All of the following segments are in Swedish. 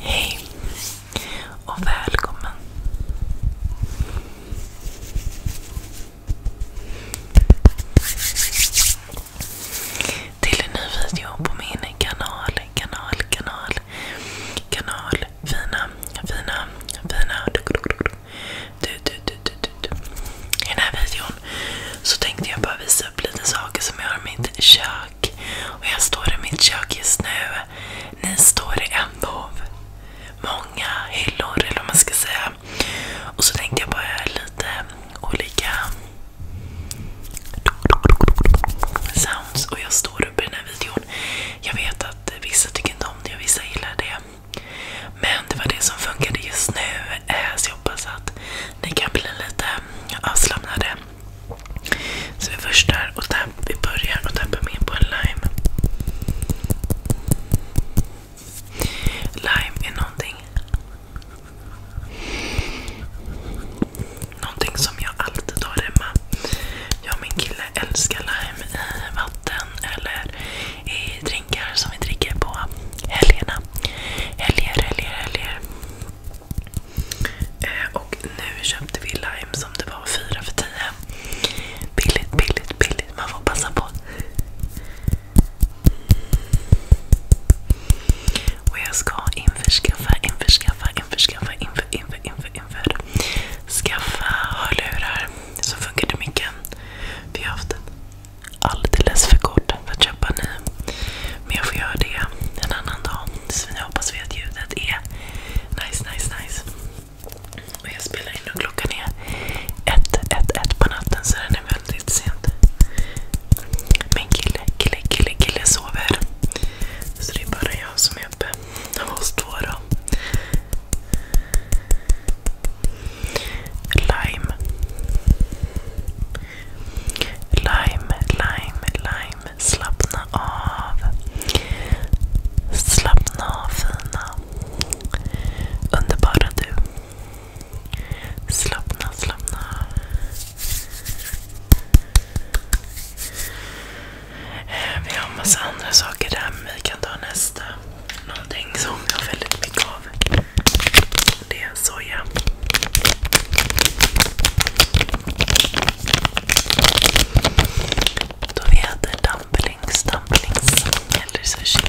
Hej och välkommen till en ny video på min kanal, kanal, kanal, kanal fina, fina, fina... Du, du, du, du, du, du. I den här videon så tänkte jag bara visa upp lite saker som jag har i mitt kök. Och jag står i mitt kök just nu. Ni står i en av många hyllor, eller vad man ska säga. Och så tänkte jag bara göra lite olika sounds. Och jag står uppe i den här videon utifrån. Jag vet att vissa tycker inte om det och vissa gillar det. Men det var det som funkade just nu. Eh, så jag hoppas att ni kan bli lite avslappnade. Så vi först där och tapp, vi börjar och tappar med på en lime. Lime är någonting Någonting som jag alltid har hemma. Jag och min kille älskar lime i vatten eller i drinkar som vi dricker på helgerna. Helger, helger, helger. Eh, och nu köpte vi lime som det var 4 för 10. Billigt, billigt, billigt. Man får passa på. Och jag ska införskaffa, införskaffa, införskaffa, införskaffa, inför, inför. Skaffa hörlurar som funkar till micken. Vi har haft den alldeles för kort för att köpa ny. Men jag får göra det en annan dag. Så nu hoppas vi att ljudet är nice, nice, nice. Och jag spelar in och klockan är ett, ett, ett på natten så den är väldigt sent. Min kille, kille, kille, kille sover. Så det är bara jag som är uppe hos Dora. Lime. Lime, lime, lime. Slappna av. Slappna av fina. Underbara du. Slappna, slappna. Eh, vi har en massa andra saker där, men vi kan ta nästa. Någonting som jag har väldigt mycket av. Det är soja. Då vi äter dumplings, dumplings eller sushi.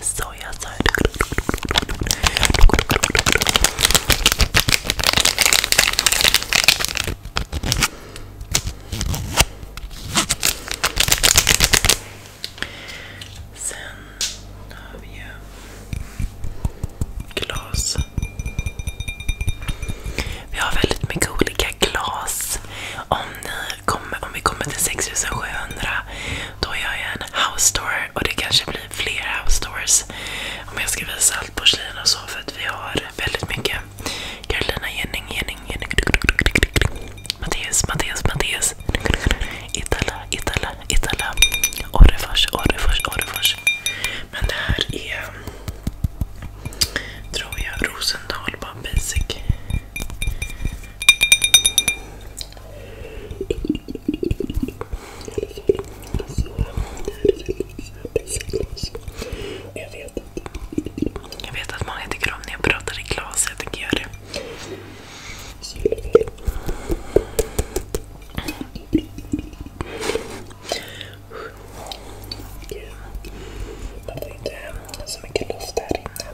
Sojasalt. Sen har vi ju glas. Vi har väldigt mycket olika glas. om vi kommer till 6700 då gör jag en house tour och det kanske blir fler house tours. Om jag ska visa allt porslin och så för att vi har väldigt mycket. Carolina Jenning, Jenning, Jenning. Mattias, Mattias, Mattias. Itala, Itala, Itala. Orrefors, Orrefors, Orrefors. Men det här är, tror jag, Rosendal, bara basic. Jag vet att många tycker om när jag pratar i glas, jag tänker göra det. Gud, man så mycket luft här inne.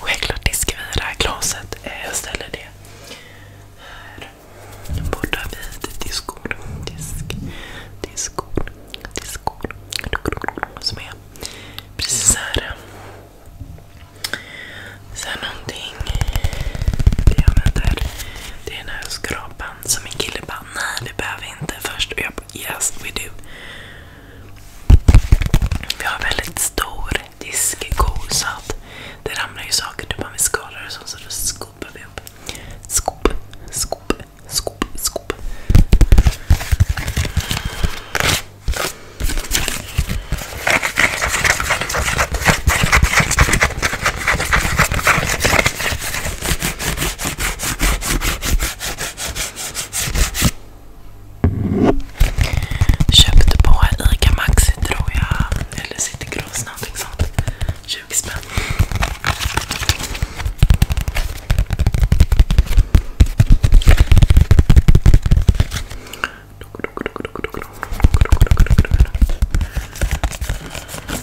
Självklart diskar vi det här glaset. Eh, jag ställer det här borta vid diskord. Disk, diskord, diskord. Som är precis här. Sen någonting vi använder. Det är den här skrapan. Så min kille bara, nej det behöver vi inte först. Och jag bara, yes we do. Vi har väldigt stor diskko så att det ramlar ju saker typ om vi skalar och sånt så då skopar vi upp. Skop, skop, skop, skop. Köpte på Ica Maxi tror jag, eller City Gross någonting sånt. 20 spänn.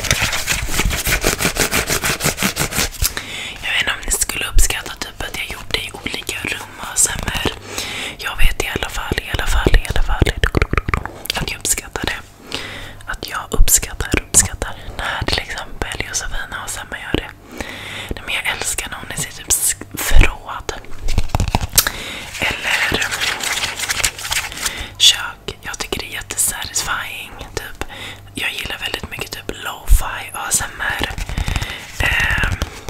Jag vet inte om ni skulle uppskatta typ att jag gjorde i olika rum ASMR. Jag vet i alla fall, i alla fall, att jag uppskattar det. Att jag uppskattar, uppskattar när till exempel Josefina och Semma gör det. men jag älskar när hon är typ förråd. Eller kök. Och jag tycker det är jättesatisfying. Typ. Jag gillar väldigt mycket typ lo-fi ASMR. Eh,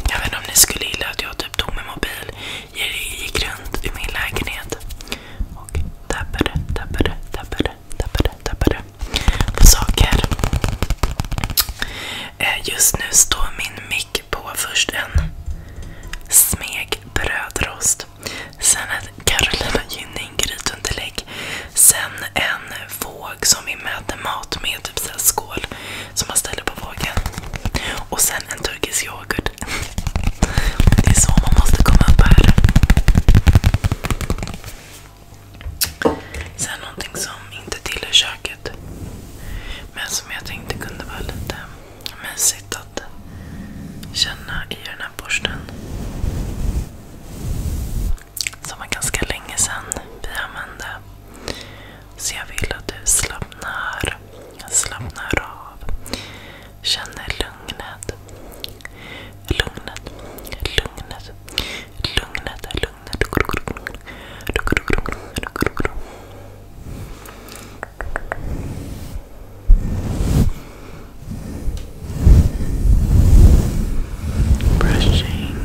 jag vet inte om ni skulle gilla att jag typ tog min mobil, gick runt i min lägenhet och tappade, tappade, tappade, tappade, tappade på saker. Eh, just nu står min mick på först en smegbrödrost. Sen ett Carolina Gynning grytunderlägg. Sen en våg som vi mäter mat med, typ så skål som man ställer på vågen. Och sen en turkisk yoghurt. Det är så man måste komma upp här. Sen någonting som inte tillhör köket. Men som jag tänkte kunde vara lite Mysigt att känna i den här borsten. Som var ganska länge sedan vi använde. Så jag vill att du slappnar, slappnar av. Känner lugnet. Lugnet, lugnet, lugnet, lugnet. Brushing, brushing.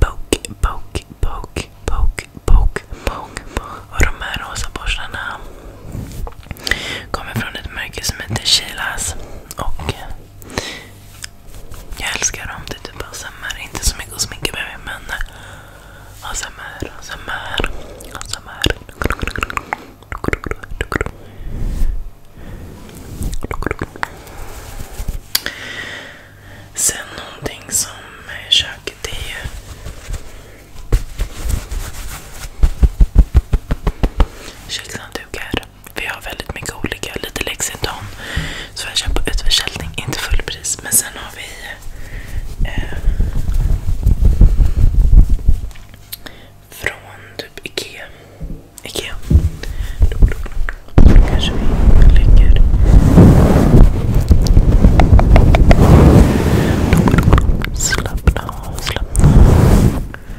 Poke, poke, poke, poke, poke, poke. Och de här rosa borstarna kommer från ett märke som heter Sheilas. Och eh, jag älskar dem. Det är typ ASMR. Inte så mycket sminka med men ASMR, ASMR, ASMR. Sen någonting som köket är ju kökshanddukar. Vi har väldigt mycket olika. Lite Lexington som jag köpt på utförsäljning. Inte fullpris. Men sen har vi eh, från typ Ikea. Ikea. Då kanske vi lägger... Slappna av, slappna av.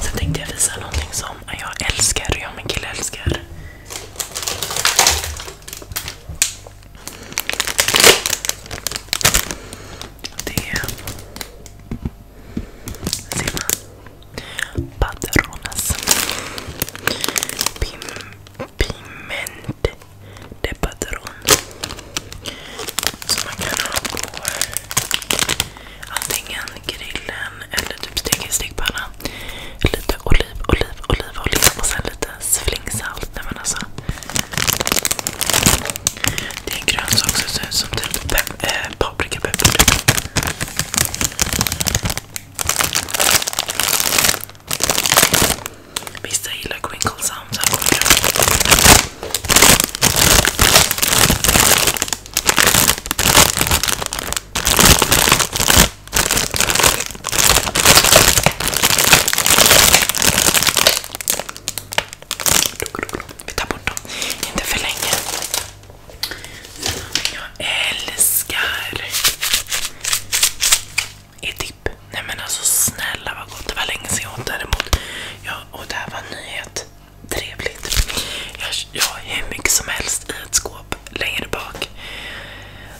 Sen tänkte jag visa någonting som jag älskar och jag och min kille älskar. Det är... Ser man? Patronas. Pim, piment Som man kan ha på antingen grillen eller typ i stekpanna. Lite oliv, oliv, olivolja och sen lite flingsalt. Alltså. Det är en grönsak som ser ut som typ pep, eh, typ. Vissa gillar crinkle sound. Vi tar bort dem. Inte för länge. Jag älskar Edip. Nej men alltså snälla vad gott. Det var länge sedan jag åt däremot. och det här var en nyhet trevligt. Jag, har hur mycket som helst i ett skåp längre bak.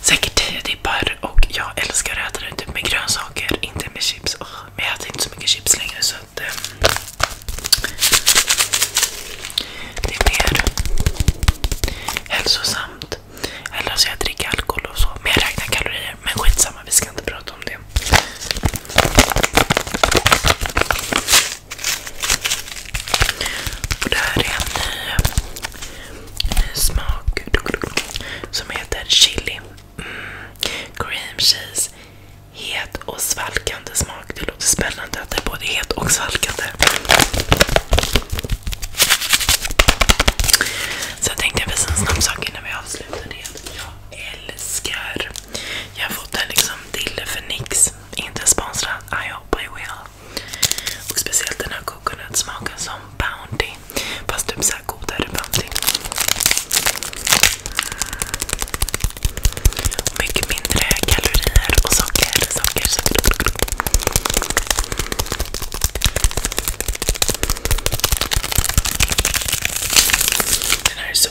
Säkert tio dippar och jag älskar att äta det typ med grönsaker, inte med chips. Oh, men jag äter inte så mycket chips längre så att... Eh, det är mer hälsosamt. Eller så jag dricker alkohol och så. Men jag räknar kalorier. Men skitsamma, vi ska inte prata om det det. Och det här är en ny, ny smak som heter chili. Mm. Cream cheese. Het och svalkande smak. Det låter spännande att det är både het och svalkande. Så jag tänkte visa en snabb sak innan vi avslutar det. Jag älskar jag fått en liksom dille för nix. Inte sponsrad. I hope I will. Och speciellt den här coconut-smaken som Bounty. Fast typ såhär godare Bounty. mycket mindre kalorier och socker. Den här är så...